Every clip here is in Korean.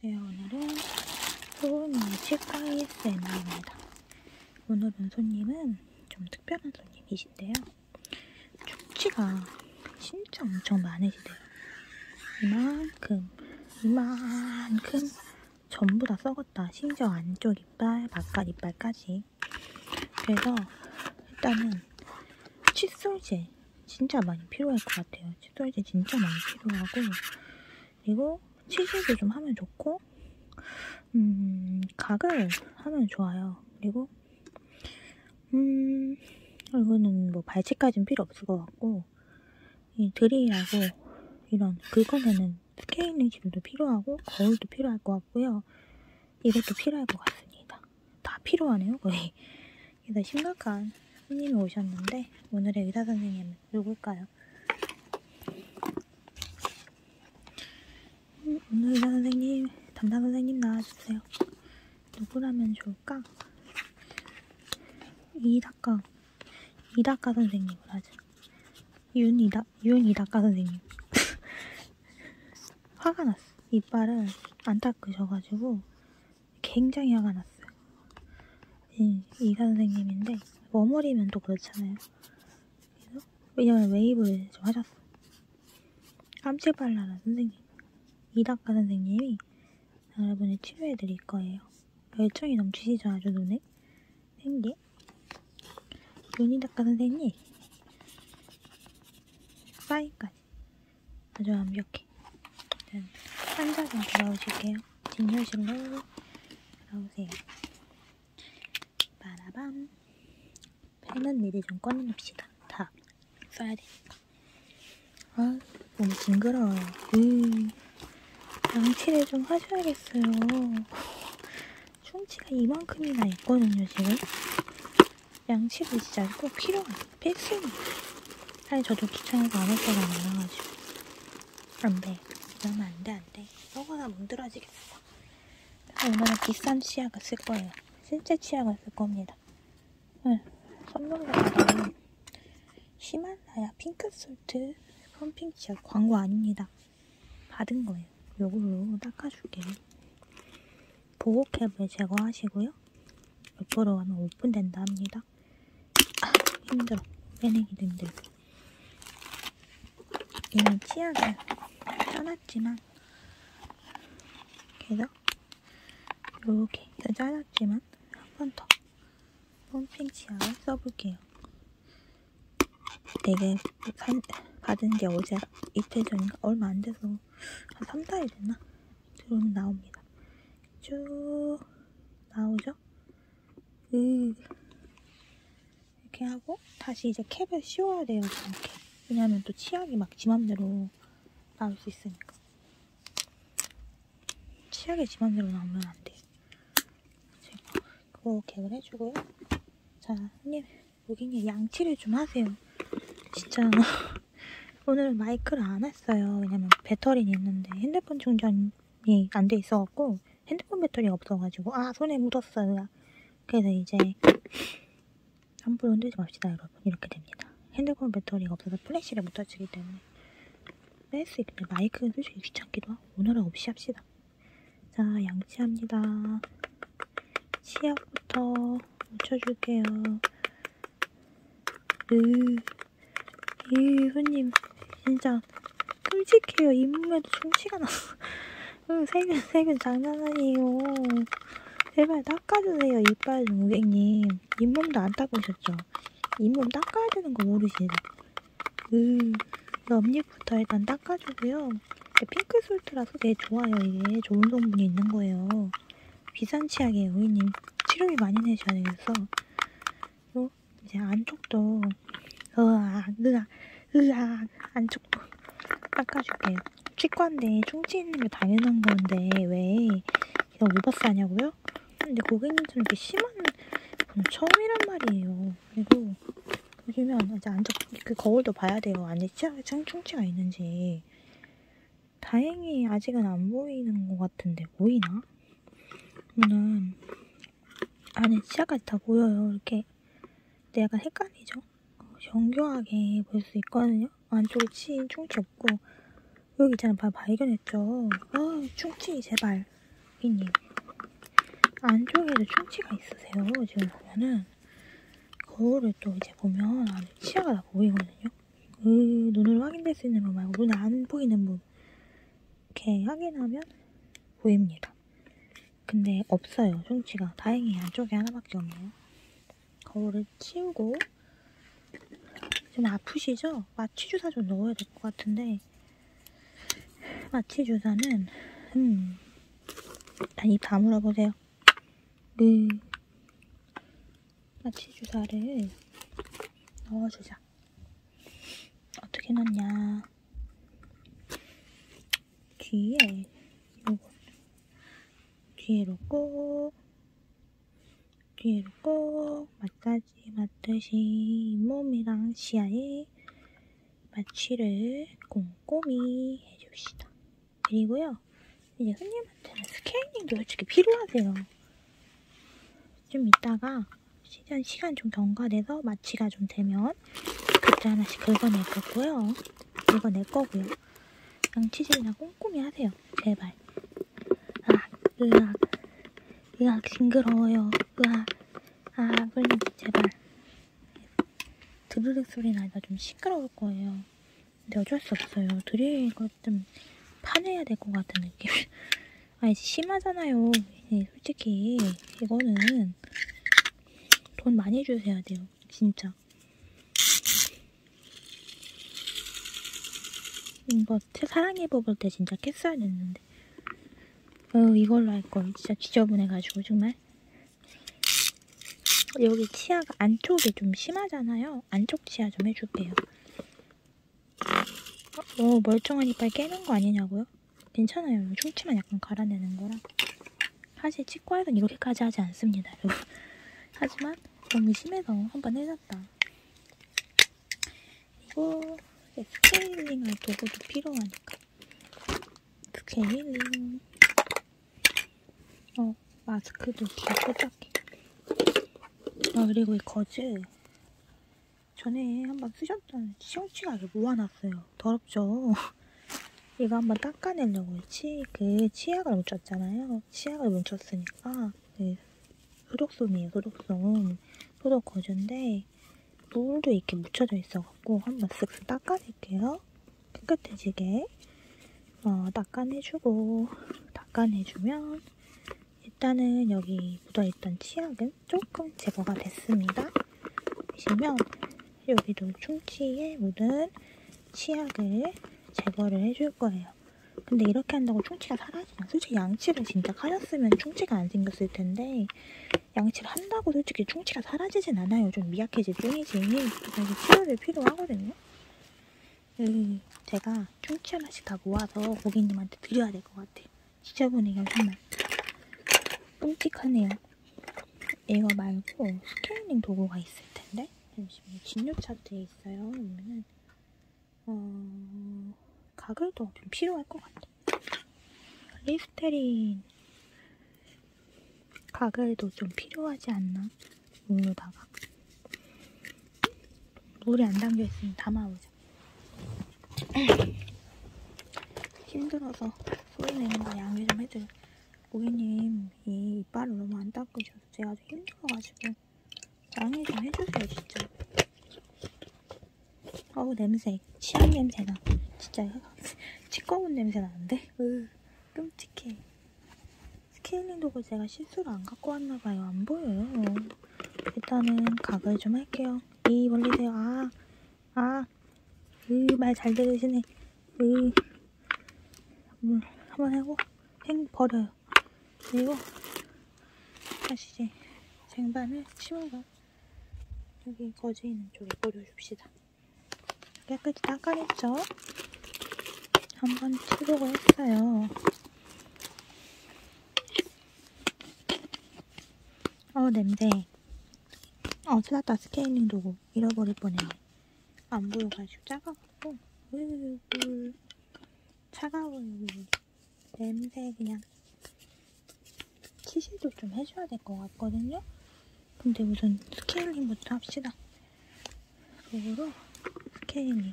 네, 오늘은 소은이의 치과의 ASMR입니다. 오늘은 손님은 좀 특별한 손님이신데요. 축지가 진짜 엄청 많으시대요. 이만큼, 이만큼 전부 다 썩었다. 심지어 안쪽 이빨, 바깥 이빨까지. 그래서 일단은 칫솔제 진짜 많이 필요할 것 같아요. 시도할 때 진짜 많이 필요하고 그리고 치즈도 좀 하면 좋고 음, 각을 하면 좋아요. 그리고 음, 이거는 뭐 발치까지는 필요 없을 것 같고 이 드릴하고 이런 긁어내는 스케일링실도 필요하고 거울도 필요할 것 같고요. 이것도 필요할 것 같습니다. 다 필요하네요, 거의. 일단 심각한 손님이 오셨는데 오늘의 의사 선생님은 누굴까요? 음, 오늘 의사 선생님, 담당 선생님 나와주세요. 누구라면 좋을까? 이다카, 이다카 선생님을 하죠. 윤이다, 윤이다카 선생님. 화가 났어. 이빨을 안 닦으셔가지고 굉장히 화가 났어요. 이, 이사 선생님인데 머머리면 또 그렇잖아요. 그래서 왜냐면 웨이브를 좀 하셨어. 깜찍발랄한 선생님. 이닥과 선생님이 여러분을 치료해 드릴 거예요. 열정이 넘치시죠? 아주 눈에? 생기. 윤이닥과 선생님. 사인까지. 아주 완벽해. 환자 좀 돌아오실게요. 진열실로 들어오세요. 바라밤. 펜은 미리 좀 꺼내놓읍시다. 다 써야 되니까. 아, 너무 징그러워요. 음, 양치를 좀 하셔야겠어요. 충치가 이만큼이나 있거든요, 지금. 양치를 진짜 꼭 필요해요. 필수입니다. 사실 저도 귀찮아서 아무 때나 안나가지고 안 돼. 이러면 안 돼, 안 돼. 썩어서 문드러지겠어. 얼마나 비싼 치약을 쓸 거예요. 실제 치약을 쓸 겁니다. 응. 선물로는 히말라야 핑크솔트 펌핑 치약 광고 아닙니다. 받은 거예요. 요걸로 닦아줄게요. 보호캡을 제거하시고요. 옆으로 하면 오픈된다 합니다. 막 아, 힘들어 빼내기도 힘들고 이미 치약을 짜놨지만 계속 이렇게 해서 짜놨지만 한 번더 펌핑 치약을 써볼게요 되게 산, 받은 게 어제 이틀 전인가 얼마 안 돼서 한 3, 4일 됐나? 들어오면 나옵니다. 쭉 나오죠? 으. 그, 이렇게 하고 다시 이제 캡을 씌워야 돼요. 이렇게. 왜냐하면 또 치약이 막 지맘대로 나올 수 있으니까. 치약이 지맘대로 나오면 안 돼. 제가 그거 캡을 해주고요. 자, 손님, 고객님 양치를 좀 하세요. 진짜 오늘 마이크를 안 했어요. 왜냐면 배터리는 있는데 핸드폰 충전 충전이 안돼 있어갖고 핸드폰 배터리가 없어가지고 아 손에 묻었어요. 그래서 이제 함부로 흔들지 맙시다 여러분 이렇게 됩니다. 핸드폰 배터리가 없어서 플래시를 못 터치기 때문에 뺄수 있는데 마이크는 솔직히 귀찮기도 하고 오늘은 없이 합시다. 자 양치합니다. 치약부터 묻혀줄게요. 으. 이 손님 진짜 끔찍해요. 잇몸에도 충치가 나. 세균 세균 장난 아니에요. 제발 닦아주세요. 이빨 좀 고객님. 잇몸도 안 닦으셨죠? 잇몸 닦아야 되는 거 모르시네. 으, 음, 옆니부터 일단 닦아주고요. 핑크 솔트라서 되게 좋아요. 이게 좋은 성분이 있는 거예요. 비싼 치약이에요. 고객님 치료비 많이 내셔야 되겠어. 어? 이제 안쪽도 으아 으아 으아 안쪽도 닦아줄게요. 치과인데 충치 있는 게 당연한 건데 왜 그냥 오버싸냐고요? 근데 고객님들은 이렇게 심한 분 처음이란 말이에요. 그리고 보시면 이제 안쪽 그 거울도 봐야 돼요. 안에 치아에 충치가 있는지. 다행히 아직은 안 보이는 것 같은데 보이나? 보면 안에 치아까지 다 보여요. 이렇게 근데 약간 헷갈리죠? 정교하게 볼 수 있거든요. 안쪽에 치인 충치 없고 여기 있잖아 바, 발견했죠. 아 충치 제발 고객님 안쪽에도 충치가 있으세요. 지금 보면은 거울을 또 이제 보면 안에 치아가 다 보이거든요. 이 음, 눈으로 확인될 수 있는 분 말고 눈에 안 보이는 분 이렇게 확인하면 보입니다. 근데 없어요 충치가 다행히 안쪽에 하나밖에 없네요. 거울을 치우고 좀 아프시죠? 마취 주사 좀 넣어야 될 것 같은데 마취 주사는 음 일단 아, 입 다물어 보세요. 네. 마취 주사를 넣어주자. 어떻게 넣냐? 뒤에 요거 뒤에 놓고 뒤에 놓고 마사지 맞듯이 몸이랑 시야에 마취를 꼼꼼히 해줍시다. 그리고요. 이제 손님한테는 스케일링도 솔직히 필요하세요. 좀 이따가 시간, 시간 좀 경과돼서 마취가 좀 되면 그때 하나씩 긁어낼 거고요. 긁어낼 거고요. 양치질이나 꼼꼼히 하세요. 제발. 으악, 아, 으악. 으악, 징그러워요. 으악. 아, 끌리 제발. 드르륵 소리 나니까 좀 시끄러울 거예요. 근데 어쩔 수 없어요. 드릴 것좀 파내야 될 것 같은 느낌. 아니 심하잖아요. 네, 솔직히 이거는 돈 많이 주셔야 돼요. 진짜. 이거 사랑해 뽑을 때 진짜 깼어야 됐는데. 어 이걸로 할걸. 진짜 지저분해가지고 정말. 여기 치아가 안쪽이 좀 심하잖아요. 안쪽 치아 좀 해줄게요. 어, 멀쩡한 이빨 깨는 거 아니냐고요? 괜찮아요. 충치만 약간 갈아내는 거라. 사실 치과에선 이렇게까지 하지 않습니다, 여러분. 하지만 너무 심해서 한번 해놨다. 이거 스케일링할 도구도 필요하니까. 스케일링. 어, 마스크도 귀엽게 짝해. 아, 그리고 이 거즈. 전에 한번 쓰셨던 시원치하게 모아놨어요. 더럽죠? 이거 한번 닦아내려고 치, 그 치약을 묻혔잖아요. 치약을 묻혔으니까 그 소독솜이에요. 소독솜. 소독 거즈인데 물도 이렇게 묻혀져 있어갖고 한번 쓱쓱 닦아낼게요. 깨끗해지게 어, 닦아내주고 닦아내주면 일단은 여기 묻어있던 치약은 조금 제거가 됐습니다. 보시면 여기도 충치에 묻은 치약을 제거를 해줄 거예요. 근데 이렇게 한다고 충치가 사라지냐? 솔직히 양치를 진짜 하셨으면 충치가 안 생겼을 텐데 양치를 한다고 솔직히 충치가 사라지진 않아요. 좀 미약해질 뿐이지. 그래서 치료를 필요하거든요. 음, 제가 하나, 청취 하나씩 다 모아서 고객님한테 드려야 될 것 같아요. 지저분해요, 정말. 끔찍하네요. 이거 말고 스케일링 도구가 있을 텐데 잠시만요. 진료 차트에 있어요. 그러면은 어... 가글도 좀 필요할 것 같아. 리스테린 가글도 좀 필요하지 않나? 물로다가 물이 안 담겨 있으면 담아오죠. 힘들어서 소리 내는 거 양해 좀 해줘요. 고객님 이 이빨을 너무 안 닦으셔서 제가 아주 힘들어가지고 양해 좀 해주세요 진짜. 어우 냄새 치약 냄새나 진짜 치꺼운 냄새 나는데 으, 끔찍해 스케일링 도구 제가 실수로 안 갖고 왔나봐요 안 보여요 일단은 각을 좀 할게요. 이 멀리세요. 아, 아, 으말잘 들으시네. 으, 물 음, 한번 하고 생 버려요. 그리고 다시 이제 쟁반을 치우고 여기 거지 있는 쪽에 버려줍시다. 깨끗이 닦아냈죠? 한번 치우고 했어요. 어 냄새 어 찾았다 스케일링 도구 잃어버릴 뻔했네 안 보여가지고 작아갖고 으으으 차가워요 그 냄새 그냥 치실도 좀 해줘야 될 것 같거든요 근데 우선 스케일링부터 합시다 도구로 스케일링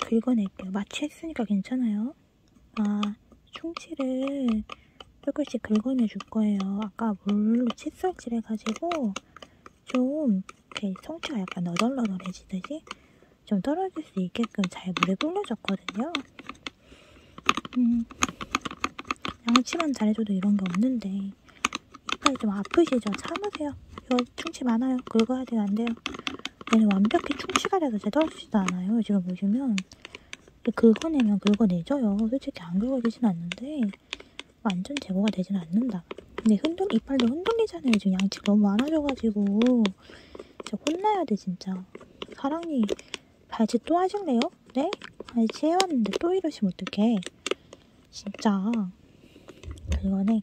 긁어낼게요. 마취 했으니까 괜찮아요. 아, 충치를 조금씩 긁어내줄 거예요. 아까 물로 칫솔질 해가지고 좀 이렇게 성체가 약간 너덜너덜해지듯이 좀 떨어질 수 있게끔 잘 물에 불려줬거든요. 음, 양치만 잘해줘도 이런 게 없는데 이빨이 좀 아프시죠? 참으세요. 이거 충치 많아요. 긁어야 돼요, 안 돼요? 얘는 완벽히 충치가 돼서 잘 떨어지지도 않아요. 지금 보시면. 긁어내면 긁어내져요. 솔직히 안 긁어지진 않는데 완전 제거가 되진 않는다. 근데 흔들, 이빨도 흔들리잖아요. 지금 양치 너무 많아져가지고. 진짜 혼나야 돼, 진짜. 사랑니 발치 또 하실래요? 네? 발치 해왔는데 또 이러시면 어떡해. 진짜. 이거는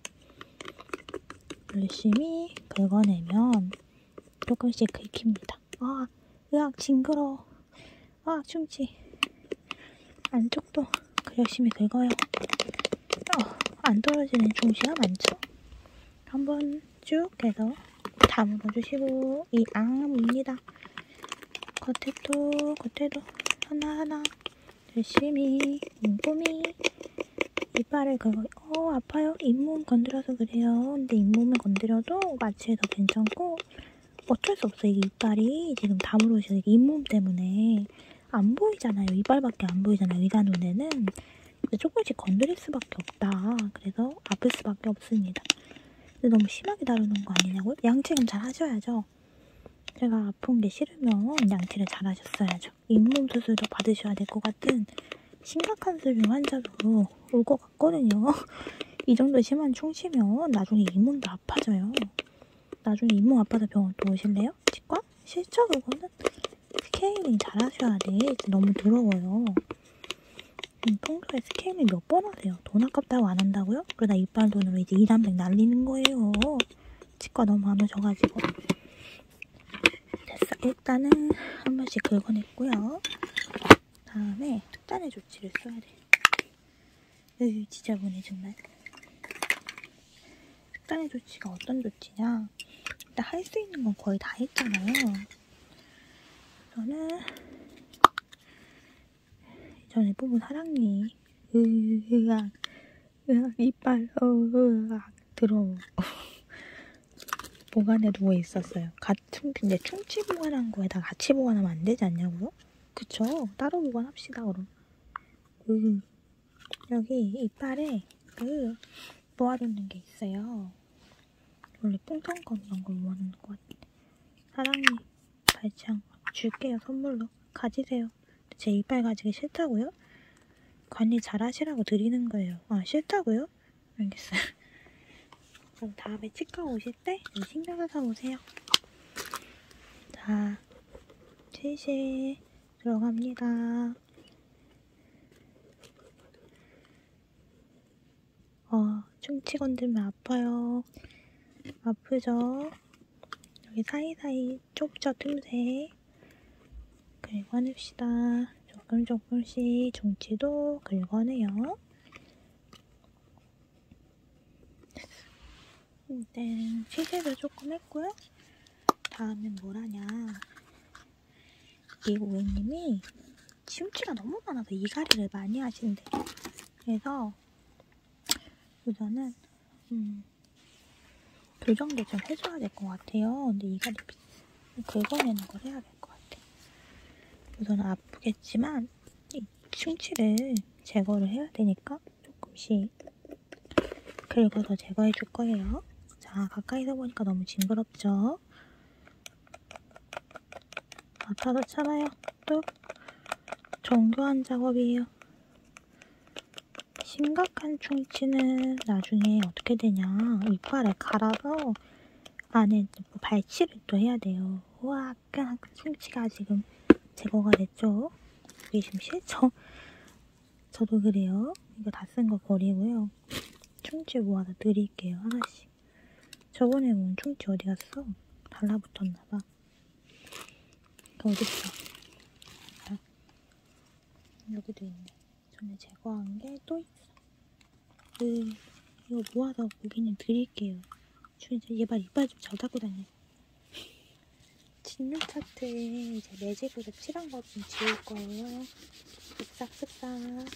열심히 긁어내면 조금씩 긁힙니다. 아, 으악, 징그러워. 아, 충치. 안쪽도 그 열심히 긁어요. 어, 안 떨어지는 충치가 많죠? 한번 쭉 해서 다 물어주시고 이 앙입니다. 겉에도 겉에도 하나하나 열심히 꼼꼼히 이빨을 그거 어 아파요? 잇몸 건드려서 그래요. 근데 잇몸을 건드려도 마취해서 괜찮고 어쩔 수 없어요. 이게 이빨이 지금 다물어져 이게 잇몸 때문에 안 보이잖아요. 이빨밖에 안 보이잖아요. 의사 눈에는 조금씩 건드릴 수밖에 없다. 그래서 아플 수밖에 없습니다. 근데 너무 심하게 다루는 거 아니냐고요? 양치는 잘 하셔야죠. 제가 아픈 게 싫으면 양치를 잘 하셨어야죠. 잇몸 수술도 받으셔야 될 것 같은 심각한 수준 환자로 올것 같거든요. 이 정도 심한 충치면 나중에 잇몸도 아파져요. 나중에 잇몸 아파서 병원 또 오실래요? 치과? 실죠 그거는? 스케일링 잘 하셔야 돼. 너무 더러워요. 음, 평소에 스케일링 몇 번 하세요? 돈 아깝다고 안 한다고요? 그러다 이빨 돈으로 이제 2, 300 날리는 거예요. 치과 너무 안 오셔가지고 됐어. 일단은 한 번씩 긁어냈고요. 다음에 특단의 조치를 써야 돼. 으 지저분해 정말. 특단의 조치가 어떤 조치냐 일단 할 수 있는 건 거의 다 했잖아요. 저는 전에 뽑은 사랑니 으악 으악, 이빨, 어, 으악, 더러워. 보관에 누워 있었어요. 같은, 근데 충치 보관한 거에다 같이 보관하면 안 되지 않냐고요? 그쵸? 따로 보관합시다, 그럼. 으, 음, 여기 이빨에 그 모아두는 게 있어요. 원래 뽕텅검 이런 걸 모아놓는 것 같은데. 사랑니, 발창 줄게요, 선물로. 가지세요. 제 이빨 가지기 싫다고요? 관리 잘 하시라고 드리는 거예요. 아, 싫다고요? 알겠어요. 그럼 다음에 치과 오실 때 신경 써서 오세요. 자, 7시 들어갑니다. 어, 충치 건들면 아파요. 아프죠? 여기 사이사이 초보자 틈새 긁어냅시다. 조금 조금씩 종치도 긁어내요. 일단 네, 시세를 조금 했고요. 다음엔 뭘 하냐. 이 고객님이 치움치가 너무 많아서 이갈이를 많이 하시는데 그래서 우선은 음, 좀 그 교정도 좀 해줘야 될 것 같아요. 근데 이가 긁어내는 걸 해야 될 것 같아. 우선 아프겠지만 이 충치를 제거를 해야 되니까 조금씩 긁어서 제거해 줄 거예요. 자, 가까이서 보니까 너무 징그럽죠? 아파도 참아요. 또 정교한 작업이에요. 심각한 충치는 나중에 어떻게 되냐 이빨에 갈아서 안에 뭐 발치를 또 해야 돼요. 와, 아까 충치가 지금 제거가 됐죠? 이게 좀 싫죠? 저도 그래요. 이거 다 쓴 거 버리고요. 충치 모아서 드릴게요. 하나씩. 저번에 본 충치 어디 갔어? 달라붙었나봐. 어딨어? 아, 여기도 있네. 전에 제거한 게 또 있어. 그, 이거 모아서 고기는 드릴게요. 얘발 이빨 좀잘 닦고 다녀. 진료 차트에 이제 매직으로 칠한 것 좀 지울 거예요. 쓱싹쓱싹.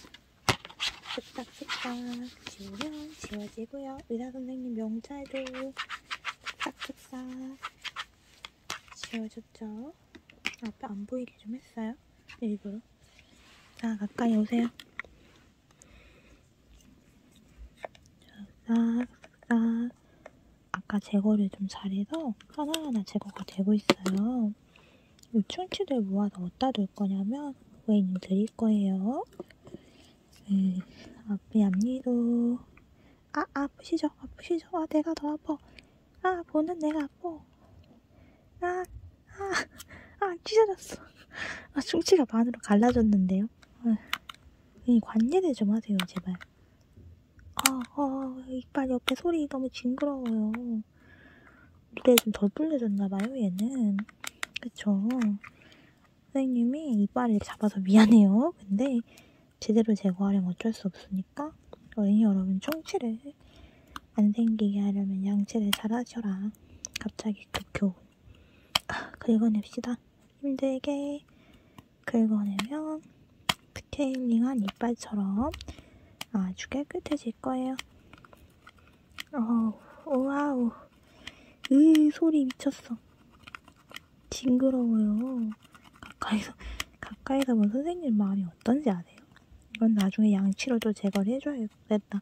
쓱싹쓱싹. 지우면 지워지고요. 의사선생님 명찰도 쓱싹쓱싹. 지워줬죠? 앞에 안 보이게 좀 했어요. 일부러. 자, 가까이 오세요. 싹, 싹. 아까 제거를 좀 잘해서 하나하나 제거가 되고 있어요. 이 충치들 모아서 어디다 둘 거냐면 고객님 드릴 거예요. 네, 앞에 앞니도 아 아프시죠? 아프시죠? 아 내가 더 아파. 아 보는 내가 아파. 아아아 아, 아, 찢어졌어. 아 충치가 반으로 갈라졌는데요. 아, 관리를 좀 하세요 제발. 아, 아 이빨 옆에 소리 너무 징그러워요. 노래 좀덜 불려졌나봐요 얘는. 그쵸? 선생님이 이빨을 잡아서 미안해요. 근데 제대로 제거하려면 어쩔 수 없으니까 어린이 여러분 충치를 안 생기게 하려면 양치를 잘 하셔라. 갑자기 그 교훈. 아, 긁어냅시다. 힘들게 긁어내면 스케일링한 이빨처럼 아주 깨끗해질 거예요. 어우, 와우. 으, 소리 미쳤어. 징그러워요. 가까이서 가까이서 본 선생님 마음이 어떤지 아세요? 이건 나중에 양치로도 제거를 해줘야겠다.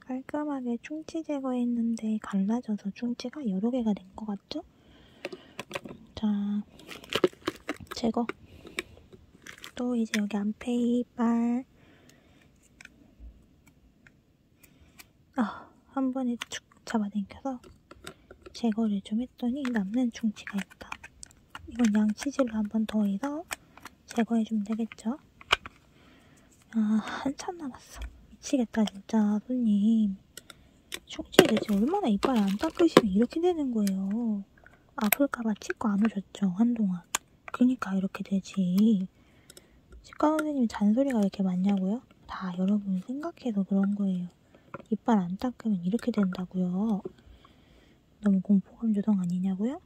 깔끔하게 충치 제거했는데 갈라져서 충치가 여러 개가 된 것 같죠? 자, 제거. 또 이제 여기 안페이 빨. 아, 한 번에 축 잡아당겨서 제거를 좀 했더니 남는 충치가 있다. 이건 양치질로 한번 더 해서 제거해주면 되겠죠? 아, 한참 남았어. 미치겠다, 진짜, 손님. 충치에 대체 얼마나 이빨 안 닦으시면 이렇게 되는 거예요. 아플까봐 치과 안 오셨죠, 한동안. 그니까 이렇게 되지. 치과 선생님이 잔소리가 왜 이렇게 많냐고요? 다 여러분 생각해서 그런 거예요. 이빨 안 닦으면 이렇게 된다고요. 너무 공포감 조성 아니냐고요?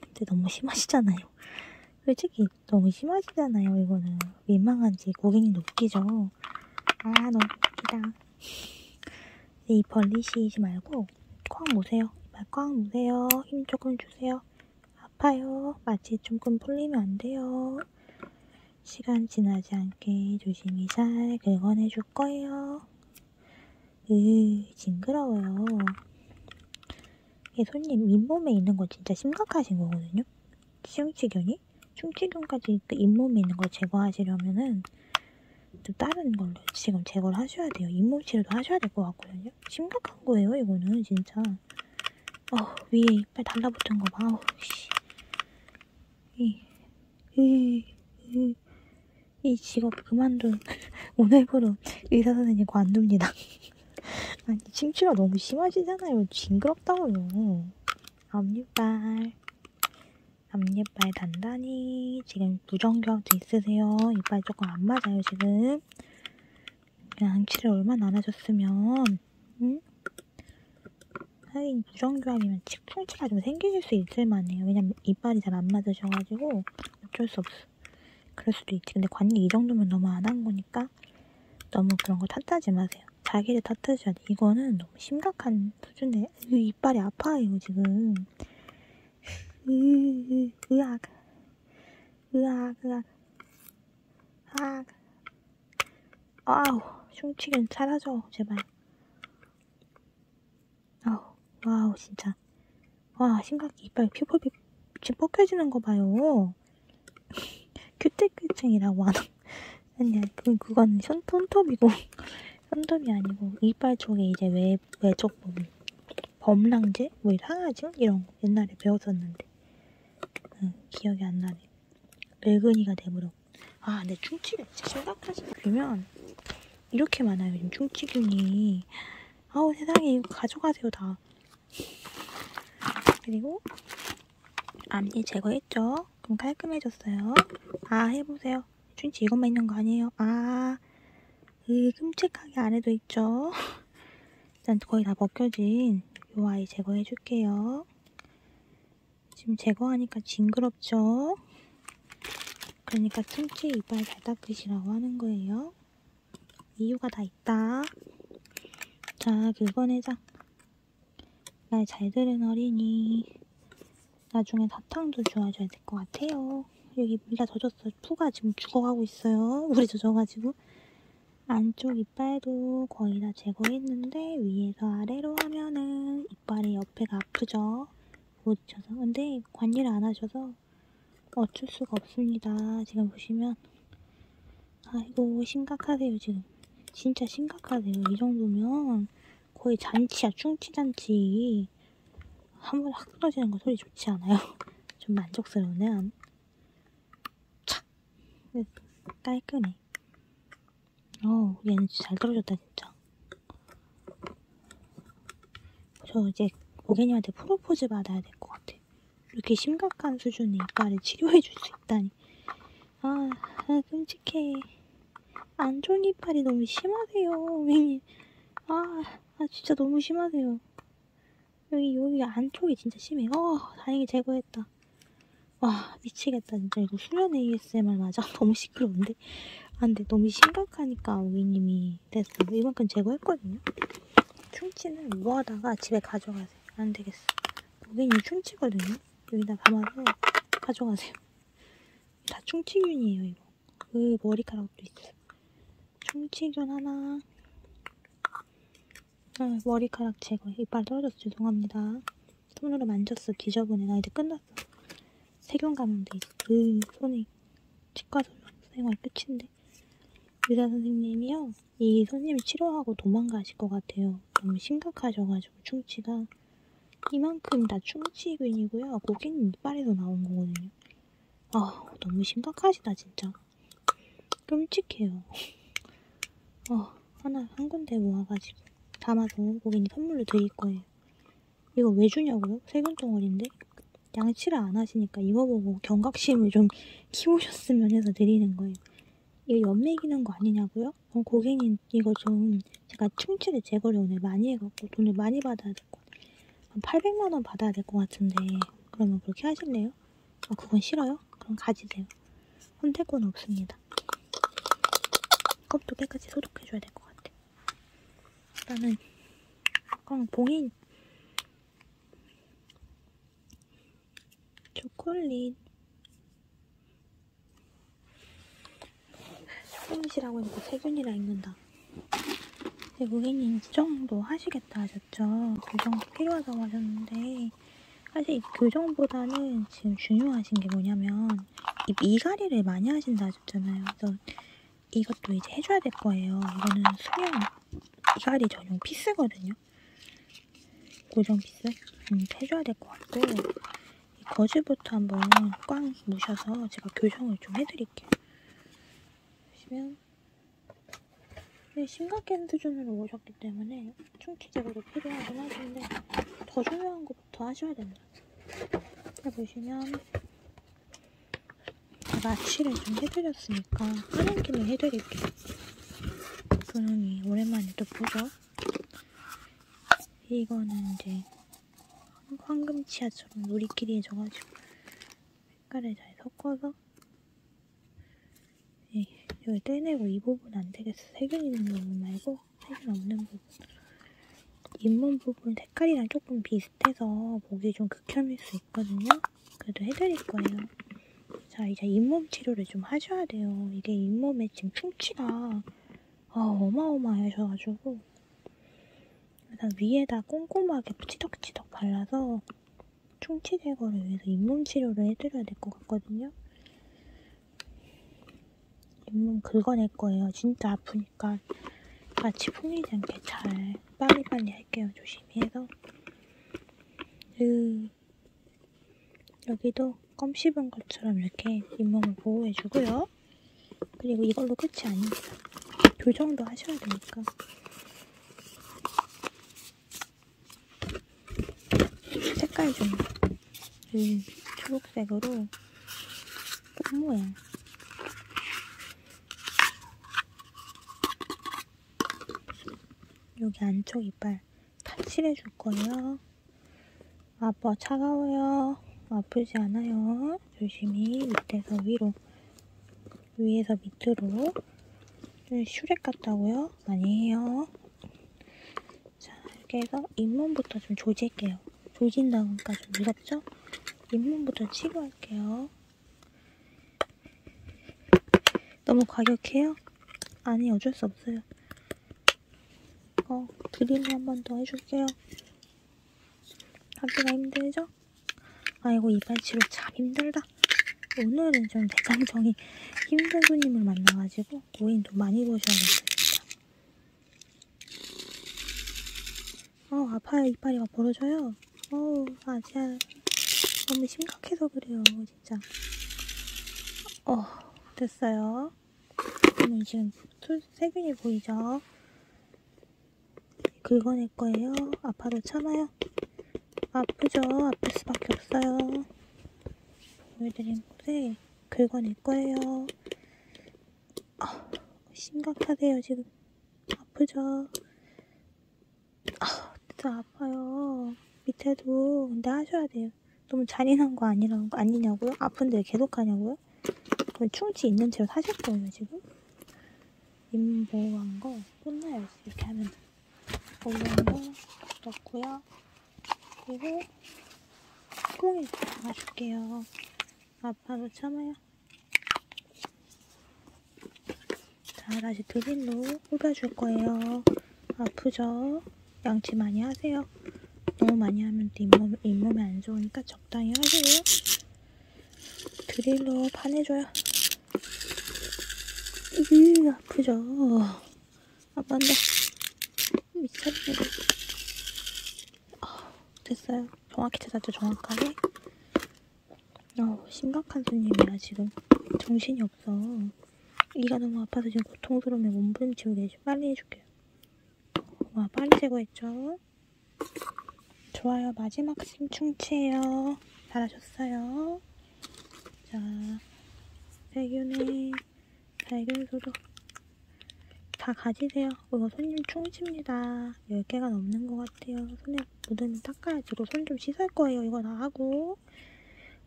근데 너무 심하시잖아요. 솔직히 너무 심하시잖아요. 이거는 민망한지 고객님도 웃기죠. 아 너무 웃기다. 이 벌리시지 말고 꽉 모세요. 이빨 꽉 모세요. 힘 조금 주세요. 아파요. 마취 조금 풀리면 안 돼요. 시간 지나지 않게 조심히 잘 긁어내주세요. 줄 거예요. 으, 징그러워요. 예, 손님, 잇몸에 있는 거 진짜 심각하신 거거든요? 충치균이? 충치균까지 그 잇몸에 있는 걸 제거하시려면은 좀 다른 걸로 지금 제거를 하셔야 돼요. 잇몸 치료도 하셔야 될 것 같거든요? 심각한 거예요, 이거는 진짜. 어 위에 이빨 달라붙은 거 봐. 어우, 씨. 이, 이, 이, 이 직업 그만둔. 오늘부로 의사선생님과 안 둡니다. 아니, 침추가 너무 심하시잖아요. 징그럽다고요. 앞니빨. 앞니빨 단단히. 지금 부정교합도 있으세요. 이빨 조금 안 맞아요, 지금. 양치를 얼마나 안 하셨으면, 응? 하긴 무정교합이면 치풍치가 좀 생기실 수 있을 만해요. 왜냐면 이빨이 잘 안 맞으셔가지고 어쩔 수 없어. 그럴 수도 있지. 근데 관리 이 정도면 너무 안 한 거니까 너무 그런 거 탓하지 마세요. 자기를 탓하셔야지. 이거는 너무 심각한 수준에 이 이빨이 아파요 지금. 으, 으악, 으악, 으악, 으악. 아우, 흉치는 사라져, 제발. 아우, 와우, 진짜. 와, 심각해. 이빨 퓨퍼비 지금 벗겨지는 거 봐요. 큐테크증이라고 하나. 아니, 그, 그건 손, 손톱이고. 손톱이 아니고, 이빨 쪽에 이제 외, 외쪽 부분. 범랑제? 뭐, 항아증? 이런 거 옛날에 배웠었는데. 응, 기억이 안 나네. 늙은이가 돼버려. 아, 근데 충치가 진짜 심각하지. 그러면 이렇게 많아요. 요즘 충치균이. 아우, 세상에 이거 가져가세요, 다. 그리고 앞니 제거했죠? 그럼 깔끔해졌어요. 아, 해보세요. 충치 이것만 있는 거 아니에요. 아, 으, 끔찍하게 안에도 있죠? 일단 거의 다 벗겨진 요 아이 제거해줄게요. 지금 제거하니까 징그럽죠? 그러니까 틈치 이빨 잘 닦으시라고 하는 거예요. 이유가 다 있다. 자, 6번 해장. 말잘 들은 어린이. 나중에 사탕도 주워줘야 될 것 같아요. 여기 물 다 젖었어. 푸가 지금 죽어가고 있어요. 물에 젖어가지고. 안쪽 이빨도 거의 다 제거했는데 위에서 아래로 하면은 이빨이 옆에가 아프죠? 부딪혀서. 근데 관리를 안 하셔서 어쩔 수가 없습니다. 지금 보시면. 아이고, 심각하세요, 지금. 진짜 심각하세요. 이 정도면 거의 잔치야, 충치잔치. 한 번에 확 떨어지는 거 소리 좋지 않아요? 좀 만족스러우네. 착! 깔끔해. 어, 우리 에너지 잘 들어줬다, 진짜. 저 이제 고객님한테 프로포즈 받아야 될 것 같아. 이렇게 심각한 수준의 이빨을 치료해 줄 수 있다니. 아, 아, 끔찍해. 안 좋은 이빨이 너무 심하세요, 고객님. 아, 아, 진짜 너무 심하세요. 여기, 여기 안쪽이 진짜 심해. 어, 다행히 제거했다. 와, 미치겠다, 진짜. 이거 수련회 ASMR 맞아? 너무 시끄러운데? 아 근데 너무 심각하니까 우기님이 됐어 이만큼 제거했거든요? 충치는 무하다가 집에 가져가세요 안되겠어 우기님 충치거든요? 여기다 감아서 가져가세요 다 충치균이에요 이거 그 머리카락도 있어요 충치균 하나 아, 머리카락 제거 이빨 떨어져서 죄송합니다 손으로 만졌어. 뒤져보네. 나 이제 끝났어. 세균 감염돼. 그 손이 치과 생활 끝인데. 의사 선생님이요. 이 손님이 치료하고 도망가실 것 같아요. 너무 심각하셔가지고 충치가 이만큼 다 충치균이고요. 고기는 이빨에서 나온 거거든요. 아 너무 심각하시다 진짜. 끔찍해요. 어, 하나 한 군데 모아가지고 담아서 고객님 선물로 드릴 거예요. 이거 왜 주냐고요? 세균 덩어리인데? 양치를 안 하시니까 이거 보고 경각심을 좀 키우셨으면 해서 드리는 거예요. 이거 연맥이는 거 아니냐고요? 그럼 어, 고객님 이거 좀 제가 충치를 제거를 오늘 많이 해갖고 돈을 많이 받아야 될 것 같아요. 한 800만 원 받아야 될 것 같은데 그러면 그렇게 하실래요? 아 그건 싫어요? 그럼 가지세요. 선택권 없습니다. 컵도 깨끗이 소독해줘야 될 것 같아요. 나는 그냥 봉인 초콜릿 초콜릿이라고 해놓고 뭐 세균이라 읽는다 외국인이 교정도 하시겠다 하셨죠 교정 그 필요하다고 하셨는데 사실 교정보다는 가장 지금 중요하신 게 뭐냐면 이 미가리를 많이 하신다 하셨잖아요. 그래서 이것도 이제 해줘야 될 거예요. 이거는 수영 미가리 전용 피스거든요. 고정 피스? 음, 해줘야 될 것 같고 이 거즈부터 한번 꽝 무셔서 제가 교정을 좀 해드릴게요. 보시면 네, 심각한 수준으로 오셨기 때문에 충치제거도 필요하긴 하신데 더 중요한 거 요거부터 하셔야 됩니다. 보시면 마취를 좀 해드렸으니까 까만기는 해드릴게요. 그러니 오랜만에 또 보죠. 이거는 이제 황금치아처럼 우리끼리 해져가지고 색깔을 잘 섞어서 예, 여기 떼내고 이 부분 안 되겠어. 세균이 있는 부분 말고 사실 없는 부분. 윗몸 부분 색깔이랑 조금 비슷해서 보기 좀 극혐일 수 있거든요. 그래도 해드릴 거예요. 자, 이제 잇몸 치료를 좀 하셔야 돼요. 이게 잇몸에 지금 충치가 아, 어마어마하셔가지고 일단 위에다 꼼꼼하게 치덕치덕 발라서 충치 제거를 위해서 잇몸 치료를 해드려야 될 것 같거든요. 입문 긁어낼 거예요. 진짜 아프니까 마치 풍리지 않게 잘 빨리빨리 할게요. 조심히 해서. 으. 여기도 껌 씹은 것처럼 이렇게 잇몸을 보호해주고요. 그리고 이걸로 끝이 아닙니다. 교정도 하셔야 되니까. 색깔 좀이 초록색으로 꽃 모양. 여기 안쪽 이빨 탈칠해 줄 거예요. 아빠 차가워요. 아프지 않아요. 조심히 밑에서 위로, 위에서 밑으로. 슈렉 같다고요? 아니에요. 자, 이렇게 해서 잇몸부터 좀 조질게요. 조진다니까 좀 무섭죠? 입문부터 치료할게요. 너무 과격해요? 아니 어쩔 수 없어요. 어, 드릴로 한 번 더 해줄게요. 하기가 힘들죠? 아이고 이발 치료 참 힘들다. 오늘은 좀 대장정이 힘든 손님을 만나가지고 고인도 많이 보셔야겠습니다. 어 아파요 이빨이 막 벌어져요 어우 아 진짜 너무 심각해서 그래요 진짜 어 됐어요 그러면 지금 세균이 보이죠 긁어낼 거예요 아파도 참아요 아프죠 아플 수밖에 없어요 보여드린 곳에 긁어낼 거예요 아, 심각하대요 지금 아프죠? 아, 진짜 아파요. 밑에도 근데 하셔야 돼요. 너무 잔인한 거 아니라는 거 아니냐고요? 아픈데 계속 하냐고요? 그럼 충치 있는 채로 사실 거예요 지금? 임보한 거 끝나요 이렇게 하면 올라온 거 넣고요. 그리고 콩이 담아줄게요. 아파서 참아요. 자, 다시 드릴로 흡어줄 거예요. 아프죠? 양치 많이 하세요. 너무 많이 하면 또 잇몸, 잇몸에 안 좋으니까 적당히 하세요. 드릴로 파내줘요. 으, 아프죠? 아빠한테 미쳤네. 아, 됐어요. 정확히 찾았죠, 정확하게. 어, 심각한 손님이야, 지금. 정신이 없어. 이가 너무 아파서 지금 고통스러우면 몸부림치고 계시 빨리 해줄게요. 와, 빨리 제거했죠? 좋아요. 마지막 심충치예요. 잘하셨어요. 자, 세균이 발견 소독 다 가지세요. 이거 손님 충치입니다. 10개가 넘는 것 같아요. 손에 묻으면 닦아야지. 이거 손좀 씻을 거예요. 이거 다 하고.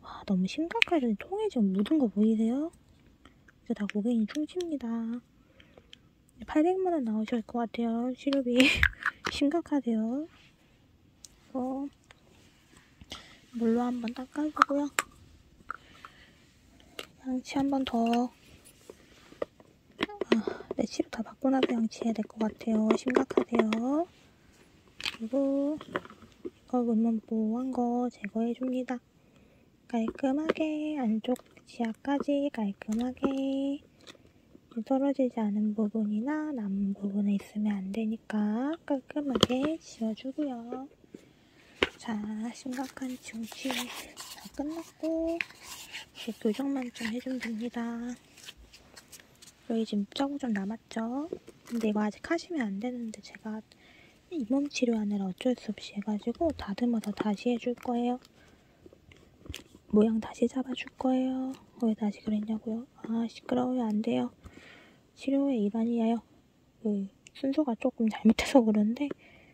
와 너무 심각하죠. 통에 지금 묻은 거 보이세요? 이거 다 고객님 충치입니다. 800만 원 나오실 것 같아요. 치료비 심각하대요. 어, 물로 한번 닦아주고요. 양치 한 번 더. 아, 내 치료 다 받고 나서 양치해야 될 것 같아요. 심각하대요. 그리고 이거 문만보한 거 제거해줍니다. 깔끔하게 안쪽 지하까지 깔끔하게 떨어지지 않은 부분이나 남은 부분에 있으면 안 되니까 깔끔하게 지워주고요. 자, 심각한 중치 다 끝났고 이제 교정만 좀 해주면 됩니다. 여기 지금 짜고 좀 남았죠? 근데 이거 아직 하시면 안 되는데 제가 잇몸 치료하느라 어쩔 수 없이 해가지고 다듬어서 다시 해줄 거예요. 모양 다시 잡아줄 거예요. 왜 다시 그랬냐고요? 아 시끄러워요. 안 돼요. 치료의 일환이에요. 그 순서가 조금 잘못해서 그런데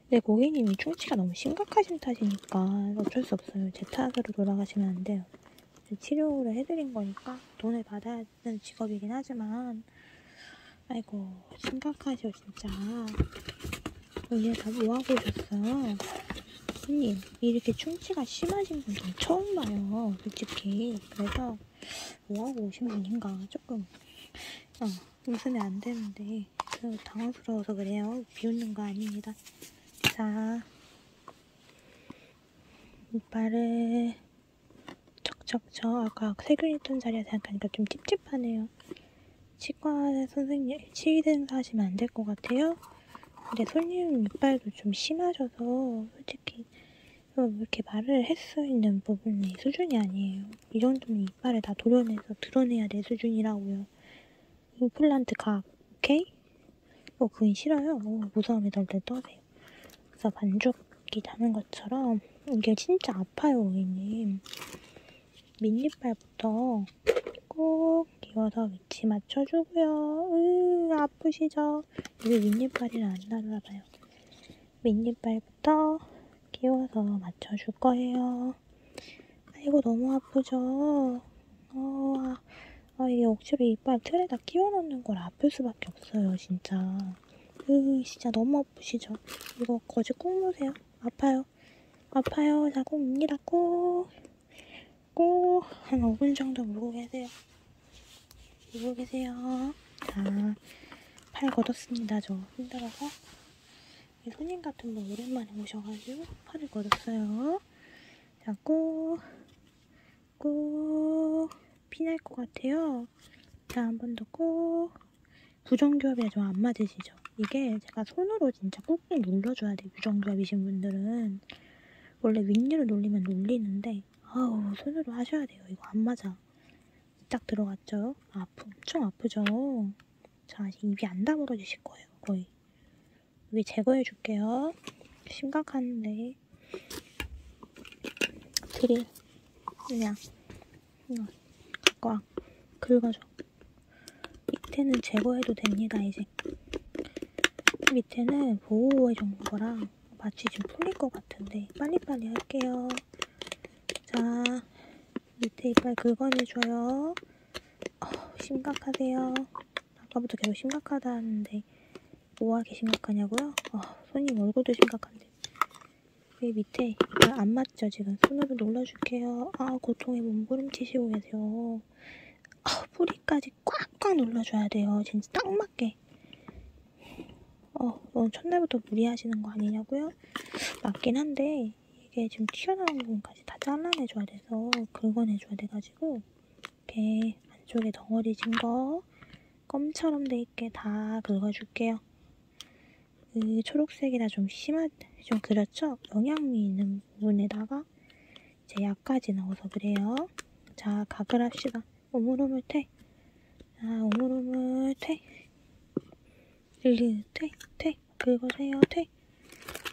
근데 고객님이 충치가 너무 심각하신 탓이니까 어쩔 수 없어요. 제 탓으로 돌아가시면 안 돼요. 치료를 해드린 거니까 돈을 받아야 하는 직업이긴 하지만 아이고 심각하셔 진짜 이제 다 뭐하고 있었어요? 손님 이렇게 충치가 심하신 분 처음 봐요 솔직히 그래서 뭐하고 오신 분인가 조금 어, 웃으면 안 되는데 네, 저 당황스러워서 그래요. 비웃는 거 아닙니다. 자, 이빨을 척척척 아까 세균 있던 자리에 생각하니까 좀 찝찝하네요. 치과 선생님, 치의사 하시면 안 될 것 같아요. 근데 손님 이빨도 좀 심하셔서 솔직히 이렇게 말을 할 수 있는 부분이 수준이 아니에요. 이 정도는 이빨을 다 도려내서 드러내야 내 수준이라고요. 임플란트 각, 오케이? 어, 그건 싫어요. 어, 무서움에 덜덜 떠세요. 그래서 반죽이 나는 것처럼 이게 진짜 아파요, 고객님. 민니발부터 꼭 기어서 위치 맞춰주고요. 으, 아프시죠? 이게 민니발이라 안 날아가요. 민니발 때부터 끼워서 맞춰줄 거예요. 아이고 너무 아프죠? 어, 아, 아 이게 억지로 이빨 틀에다 끼워넣는 걸 아플 수밖에 없어요 진짜. 으 진짜 너무 아프시죠? 이거 거즈 꾹 놓으세요. 아파요. 아파요. 자 꾹입니다. 꾹. 꾹. 한 5분 정도 물고 계세요. 물고 계세요. 자, 팔 걷었습니다. 저 힘들어서. 손님 같은 분 오랜만에 오셔가지고 팔을 걸었어요. 자, 꼭, 꼭, 피날 것 같아요. 자, 한 번더 꼭. 부정교합이 좀 안 맞으시죠? 이게 제가 손으로 진짜 꾹꾹 눌러줘야 돼요. 부정교합이신 분들은. 원래 윗니로 눌리면 눌리는데, 아우, 손으로 하셔야 돼요. 이거 안 맞아. 딱 들어갔죠? 아프, 엄청 아프죠? 자, 입이 안 다물어 주실 거예요, 거의. 여기 제거해 줄게요. 심각한데. 드릴. 그냥. 그냥. 갖고 와. 긁어줘. 밑에는 제거해도 됩니다, 이제. 밑에는 보호해 준 거랑 마치 지금 풀릴 것 같은데. 빨리빨리 할게요. 자, 밑에 이빨 긁어내줘요. 어, 심각하세요. 아까부터 계속 심각하다 하는데 뭐가 이렇게 심각하냐고요? 어, 손님 얼굴도 심각한데 왜 그 밑에 이빨 안 맞죠? 지금 손으로 눌러줄게요. 아 고통에 몸부림치시고 계세요. 아, 뿌리까지 꽉꽉 눌러줘야 돼요. 진짜 딱 맞게. 어, 넌 첫날부터 무리하시는 거 아니냐고요? 맞긴 한데 근데 이게 지금 튀어나온 부분까지 다 잘라내줘야 돼서 긁어내줘야 돼가지고 이렇게 안쪽에 덩어리 진거 껌처럼 돼있게 다 긁어줄게요. 그 초록색이라 좀 심한 좀 그렇죠? 영양미 있는 부분에다가 이제 약까지 넣어서 그래요. 자 각을 합시다. 오물오물 퇴. 자 오물오물 퇴. 릴리는 퇴, 퇴, 긁으세요, 퇴.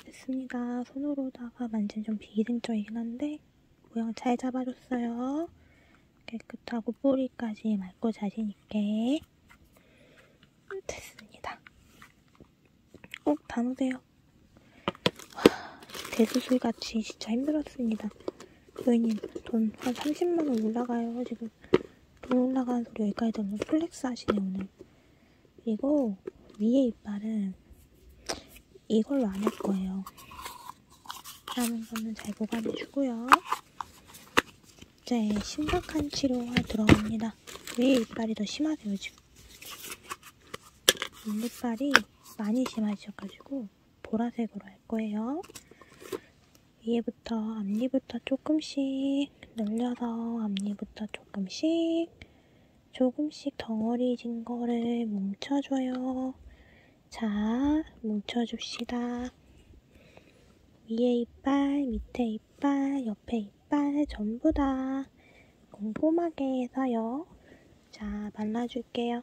됐습니다. 손으로다가 만진 좀 비이생적이긴 한데 모양 잘 잡아줬어요. 깨끗하고 뿌리까지 맑고 자신있게 됐습니다. 꼭 어, 담으세요. 와, 대수술같이 진짜 힘들었습니다. 고객님 돈 한 30만원 올라가요 지금 또 올라가는 소리 여기까지 들으면 플렉스 하시네 오늘 그리고 위에 이빨은 이걸로 안 할 거예요 남은 거는 잘 보관해 주고요 이제 심각한 치료가 들어갑니다 위에 이빨이 더 심하세요 지금 눈이빨이 많이 심하셔가지고 보라색으로 할 거예요 위에부터 앞니부터 조금씩 늘려서 앞니부터 조금씩 조금씩 덩어리진 거를 뭉쳐줘요. 자, 뭉쳐줍시다. 위에 이빨, 밑에 이빨, 옆에 이빨 전부 다 꼼꼼하게 해서요. 자, 말라줄게요.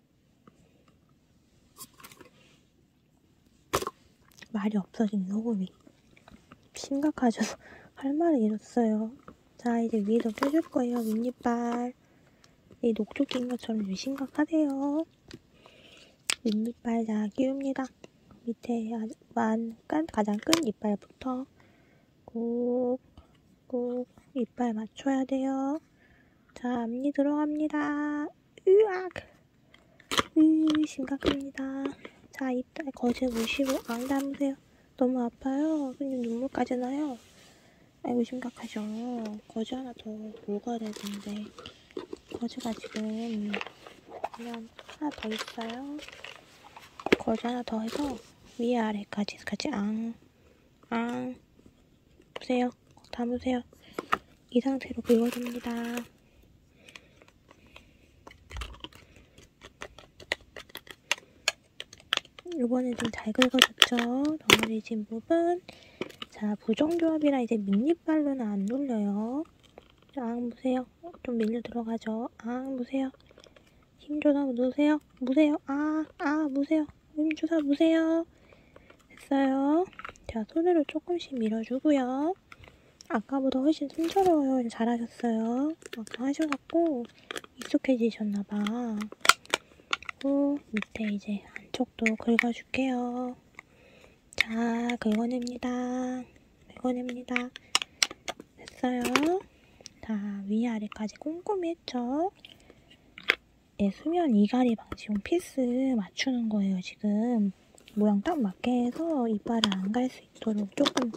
말이 없어진 소금이 심각하죠. 할 말을 잃었어요. 자 이제 위에도 껴줄 거예요. 윗니빨 이 녹조 낀 것처럼 좀 심각하대요. 윗니빨 다 끼웁니다. 밑에 만 가장 끈 이빨부터 꾹 꾹 이빨 맞춰야 돼요. 자 앞니 들어갑니다. 으악 으, 음, 심각합니다. 자, 이따 거실 무시고, 안 담으세요. 너무 아파요. 그냥 눈물까지 나요. 아이고, 심각하죠. 거즈 하나 더 먹어야 되는데. 거즈가 지금, 그냥 하나 더 있어요. 거즈 하나 더 해서, 위아래까지, 같이 앙, 앙. 보세요. 꽉 담으세요. 이 상태로 긁어줍니다. 요번엔 좀 잘 긁어졌죠? 넘어지신 부분 자, 부정조합이라 이제 밀립발로는 안 눌려요. 앙 무세요. 좀 밀려 들어가죠. 앙 무세요. 힘 조사 무세요. 무세요. 아, 아, 무세요. 힘 조사 무세요. 됐죠? 됐어요. 자, 손으로 조금씩 밀어주고요. 아까보다 훨씬 순조로워요. 잘하셨어요. 아까 하셔갖고 익숙해지셨나봐. 그리고 밑에 이제 안쪽도 긁어줄게요. 자, 긁어냅니다. 긁어냅니다. 됐어요. 자, 위아래까지 꼼꼼히 했죠? 예, 수면 이갈이 방지용 피스 맞추는 거예요, 지금. 모양 딱 맞게 해서 이빨을 안 갈 수 있도록 조금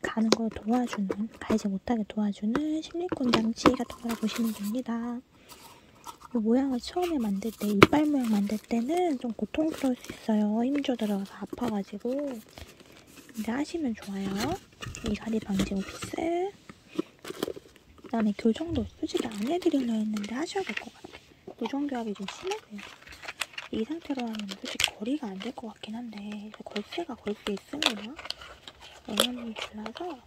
가는 걸 도와주는, 갈지 못하게 도와주는 실리콘 장치 같은 걸 보시면 됩니다. 이 모양을 처음에 만들 때, 이빨 모양 만들 때는 좀 고통스러울 수 있어요. 힘줘 들어가서 아파가지고. 이제 하시면 좋아요. 이갈이 방지용 피스. 그 다음에 교정도 솔직히 안 해드리려 했는데 하셔야 될 것 같아요. 요정교합이 좀 심하고요. 이 상태로 하면 솔직히 거리가 안 될 것 같긴 한데 걸쇠가 걸쇠 있으려나? 영향이 달라서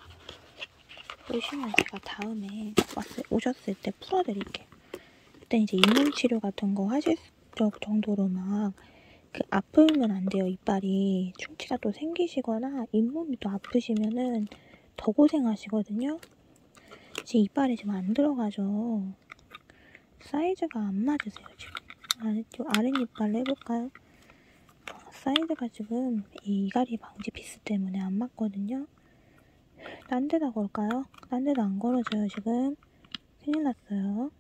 보시면 제가 다음에 왔을, 오셨을 때 풀어드릴게요. 그때 이제 인문치료 같은 거 하실 정도로 막그 아프면 안 돼요. 이빨이 충치가 또 생기시거나 잇몸이 또 아프시면은 더 고생하시거든요. 제 이빨에 지금 안 들어가죠. 사이즈가 안 맞으세요, 지금. 아래쪽 아랫이빨로 해볼까요? 사이즈가 지금 이 이갈이 방지 피스 때문에 안 맞거든요. 딴 데다 걸까요? 딴 데다 안 걸어져요, 지금. 큰일 났어요.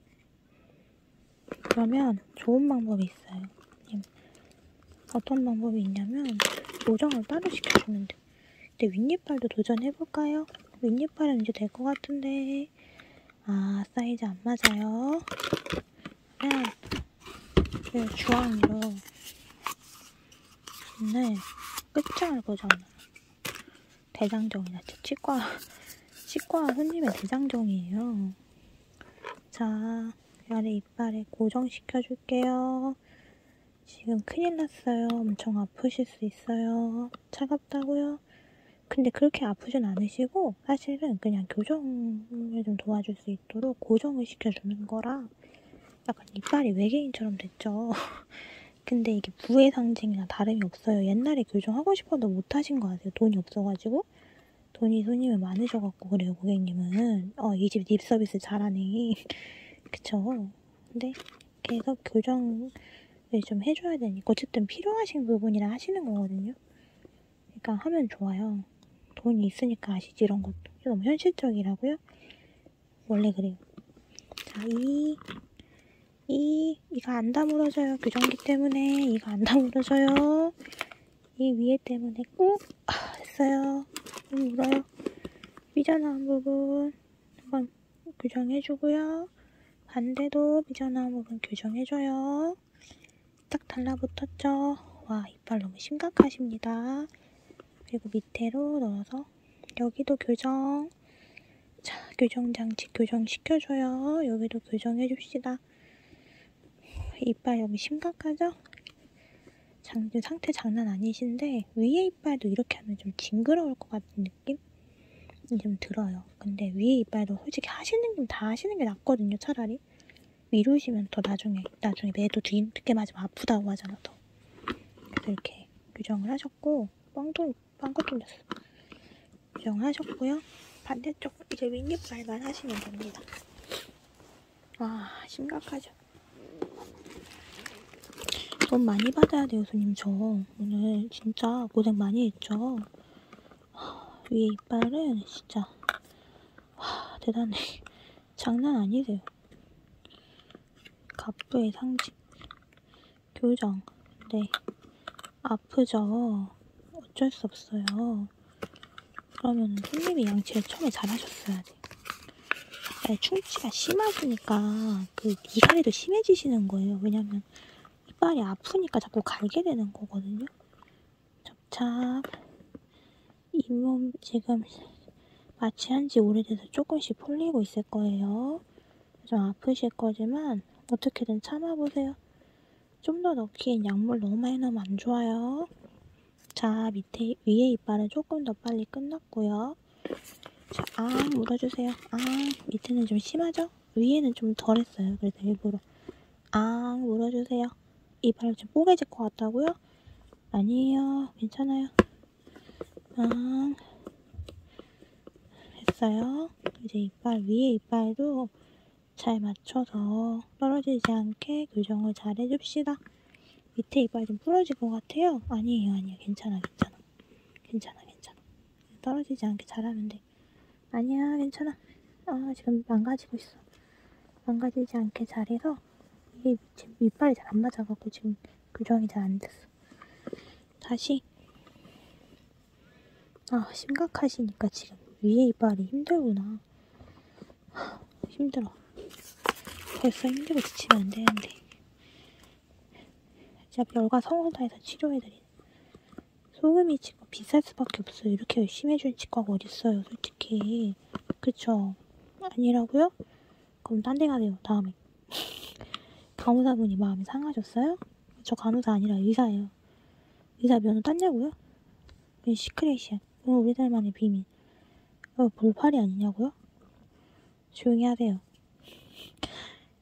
그러면 좋은 방법이 있어요. 어떤 방법이 있냐면, 요정을 따로 시켜주면 돼요. 근데 윗니팔도 도전해볼까요? 윗니팔은 이제 될 것 같은데 아 사이즈 안 맞아요 그냥 네, 주황으로 네 끝장을 보잖아 대장정이나 제 치과 치과 손님의 대장정이에요 자 아래 이빨에 고정시켜줄게요 지금 큰일 났어요. 엄청 아프실 수 있어요. 차갑다고요? 근데 그렇게 아프진 않으시고 사실은 그냥 교정을 좀 도와줄 수 있도록 고정을 시켜주는 거라 약간 이빨이 외계인처럼 됐죠. 근데 이게 부의 상징이나 다름이 없어요. 옛날에 교정하고 싶어도 못하신 거 아세요? 돈이 없어가지고. 돈이 손님이 많으셔갖고 그래요, 고객님은. 어, 이 집 립서비스 잘하네. 그쵸? 근데 계속 교정을 좀 해줘야 되니까 어쨌든 필요하신 부분이라 하시는 거거든요. 그러니까 하면 좋아요. 돈이 있으니까 아시지 이런 것도. 너무 현실적이라고요? 원래 그래요. 자, 이, 이, 이거 안 다물어져요. 교정기 때문에 이거 안 다물어져요. 이 위에 때문에 꾹 아, 됐어요. 울어요. 삐져나온 부분 한번 교정해주고요. 반대도 삐져나온 부분 교정해줘요. 딱 달라붙었죠? 와 이빨 너무 심각하십니다. 그리고 밑으로 넣어서 여기도 교정 자 교정장치 교정시켜줘요. 여기도 교정해줍시다. 이빨 여기 심각하죠? 장, 지금 상태 장난 아니신데 위에 이빨도 이렇게 하면 좀 징그러울 것 같은 느낌이 좀 들어요. 근데 위에 이빨도 솔직히 하시는 게다 하시는 게 낫거든요. 차라리 미루시면 더 나중에 나중에 매도 뒤 늦게 맞으면 아프다고 하잖아. 더 그래서 이렇게 규정을 하셨고 빵도 빵도 뚫렸어. 규정하셨고요. 반대쪽 이제 윗이빨만 하시면 됩니다. 와 아, 심각하죠 돈 많이 받아야 돼요 손님 저 오늘 진짜 고생 많이 했죠 위에 이빨은 진짜 와 대단해 장난 아니세요 갑부의 상징 교정 네 아프죠 어쩔 수 없어요 그러면 손님이 양치를 처음에 잘하셨어야 돼 발에 충치가 심하시니까 그 이갈이도 심해지시는 거예요. 왜냐면 이빨이 아프니까 자꾸 갈게 되는 거거든요. 접착 잇몸 지금 마취한 지 오래돼서 조금씩 풀리고 있을 거예요. 좀 아프실 거지만 어떻게든 참아보세요. 좀 더 넣기엔 약물 너무 많이 넣으면 안 좋아요. 자, 밑에, 위에 이빨은 조금 더 빨리 끝났고요. 자, 아, 물어주세요. 아, 밑에는 좀 심하죠? 위에는 좀 덜했어요. 그래서 일부러. 아, 물어주세요. 이빨 좀 뽀개질 것 같다고요? 아니에요. 괜찮아요. 아, 했어요. 이제 이빨, 위에 이빨도 잘 맞춰서 떨어지지 않게 교정을 잘 해줍시다. 밑에 이빨이 좀 부러질 것 같아요. 아니에요, 아니에요. 괜찮아, 괜찮아. 괜찮아, 괜찮아. 떨어지지 않게 잘하면 돼. 아니야, 괜찮아. 아, 지금 망가지고 있어. 망가지지 않게 잘해서 이게 지금 이빨이 잘 안 맞아갖고 지금 교정이 잘 안 됐어. 다시. 아, 심각하시니까 지금 위에 이빨이 힘들구나. 힘들어. 벌써 힘들고 지치면 안 되는데. 어차피 열과 성을 다해서 치료해드리는. 소금이 치과 비쌀 수밖에 없어요. 이렇게 열심히 해주는 치과가 어딨어요, 솔직히. 그쵸? 아니라고요? 그럼 딴 데 가세요, 다음에. 간호사분이 마음이 상하셨어요? 저 간호사 아니라 의사예요. 의사 면허 땄냐고요? 시크레이션. 오늘 우리 딸만의 비밀. 어, 벌팔이 아니냐고요? 조용히 하세요.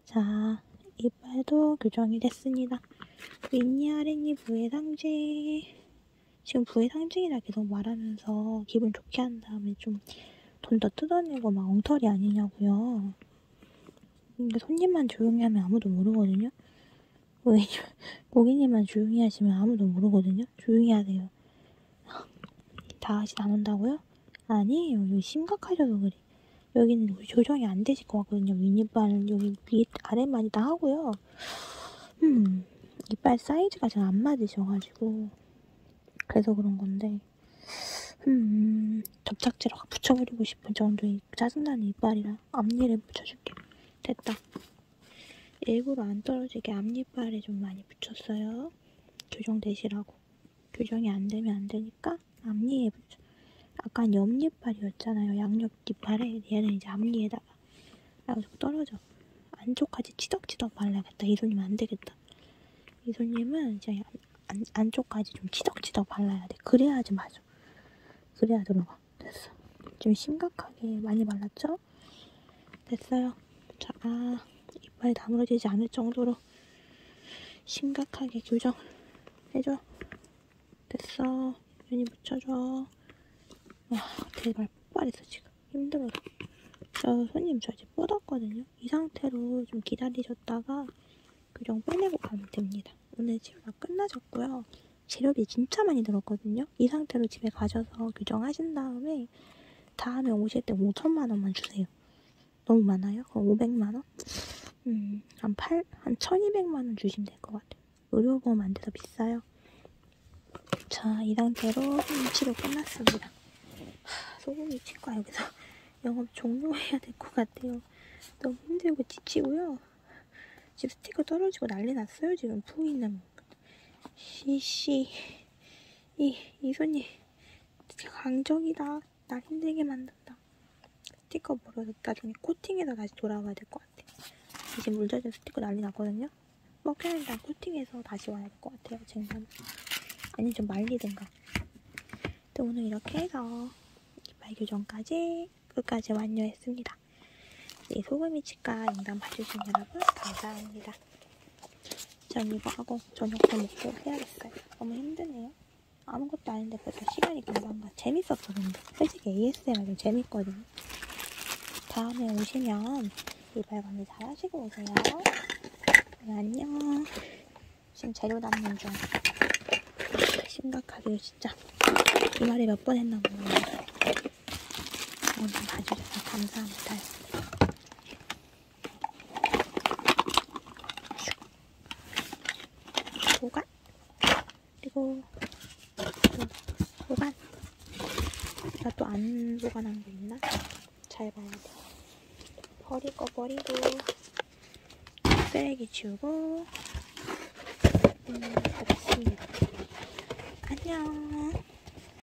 자, 이빨도 교정이 됐습니다. 윗니 아랫니 부의 상징. 지금 부의 상징이라 계속 말하면서 기분 좋게 한 다음에 좀 돈 더 뜯어내고 막 엉터리 아니냐고요. 근데 손님만 조용히 하면 아무도 모르거든요. 고객님, 고객님만 조용히 하시면 아무도 모르거든요. 조용히 하세요. 그래요. 다시 나온다고요? 아니에요. 여기 심각하셔서 그래. 여기는 조정이 안 되실 것 같거든요. 윗니빨은 여기 밑 아래만 이다 하고요. 음, 이빨 사이즈가 잘안 맞으셔가지고 그래서 그런 건데 음, 접착제로 붙여버리고 싶은 정도의 짜증나는 이빨이라 앞니를 붙여줄게. 됐다. 일부러 안 떨어지게 앞니빨에 좀 많이 붙였어요. 교정되시라고. 교정이 안 되면 안 되니까 앞니에 아까 옆니팔이었잖아요. 양옆 니팔에 얘는 이제 앞니에다가 그래서 떨어져. 안쪽까지 치덕치덕 발라야겠다. 이손님 안 되겠다. 이손님은 이제 안, 안, 안쪽까지 좀 치덕치덕 발라야 돼. 그래야지 맞아. 그래야 들어가. 됐어. 좀 심각하게 많이 발랐죠? 됐어요. 자, 아, 이빨이 다물어지지 않을 정도로 심각하게 교정을 해줘. 됐어. 윤이 묻혀줘. 와, 대발 폭발했어, 지금. 힘들어요. 저 손님 저 이제 뻗었거든요. 이 상태로 좀 기다리셨다가 교정 빼내고 가면 됩니다. 오늘 치료가 끝나셨고요. 재료비 진짜 많이 들었거든요. 이 상태로 집에 가셔서 교정하신 다음에 다음에 오실 때 5천만 원만 주세요. 너무 많아요? 그럼 500만 원? 음, 한 8, 한 1200만 원 주시면 될 것 같아요. 의료보험 안 돼서 비싸요. 자, 이 상태로 치료 끝났습니다. 하, 소고기 치과 여기서 영업 종료해야 될 것 같아요. 너무 힘들고 지치고요. 집 스티커 떨어지고 난리 났어요. 지금 푸이는. 시시. 이, 이 손이 진짜 강적이다. 날 힘들게 만든다. 스티커 버려서 나중에 코팅에다 다시 돌아와야 될 것 같아. 이제 물 젖은 스티커 난리 났거든요? 먹혀야 뭐 일단 코팅해서 다시 와야 될 것 같아요, 쟁반. 아니, 좀 말리든가. 또 오늘 이렇게 해서 이발 교정까지 끝까지 완료했습니다. 이제 네, 소금이 치 시간 인간 봐주신 여러분 감사합니다. 전 이거 하고 저녁도 먹고 해야겠어요. 너무 힘드네요. 아무것도 아닌데 그래도 시간이 금방 가. 재밌었죠 근데. 솔직히 ASMR이 재밌거든요. 다음에 오시면 이발 관리 잘 하시고 오세요. 네, 안녕. 지금 재료 담는 중. 심각하게 진짜 이말이 몇 번 했나 모르겠어요. 오늘 봐주셔서 감사합니다. 보관 그리고 또 보관 나 또 안 보관한 게 있나? 잘 봐야 돼 버릴 거 버리고 쓰레기 치우고 음, 다 됐습니다 안녕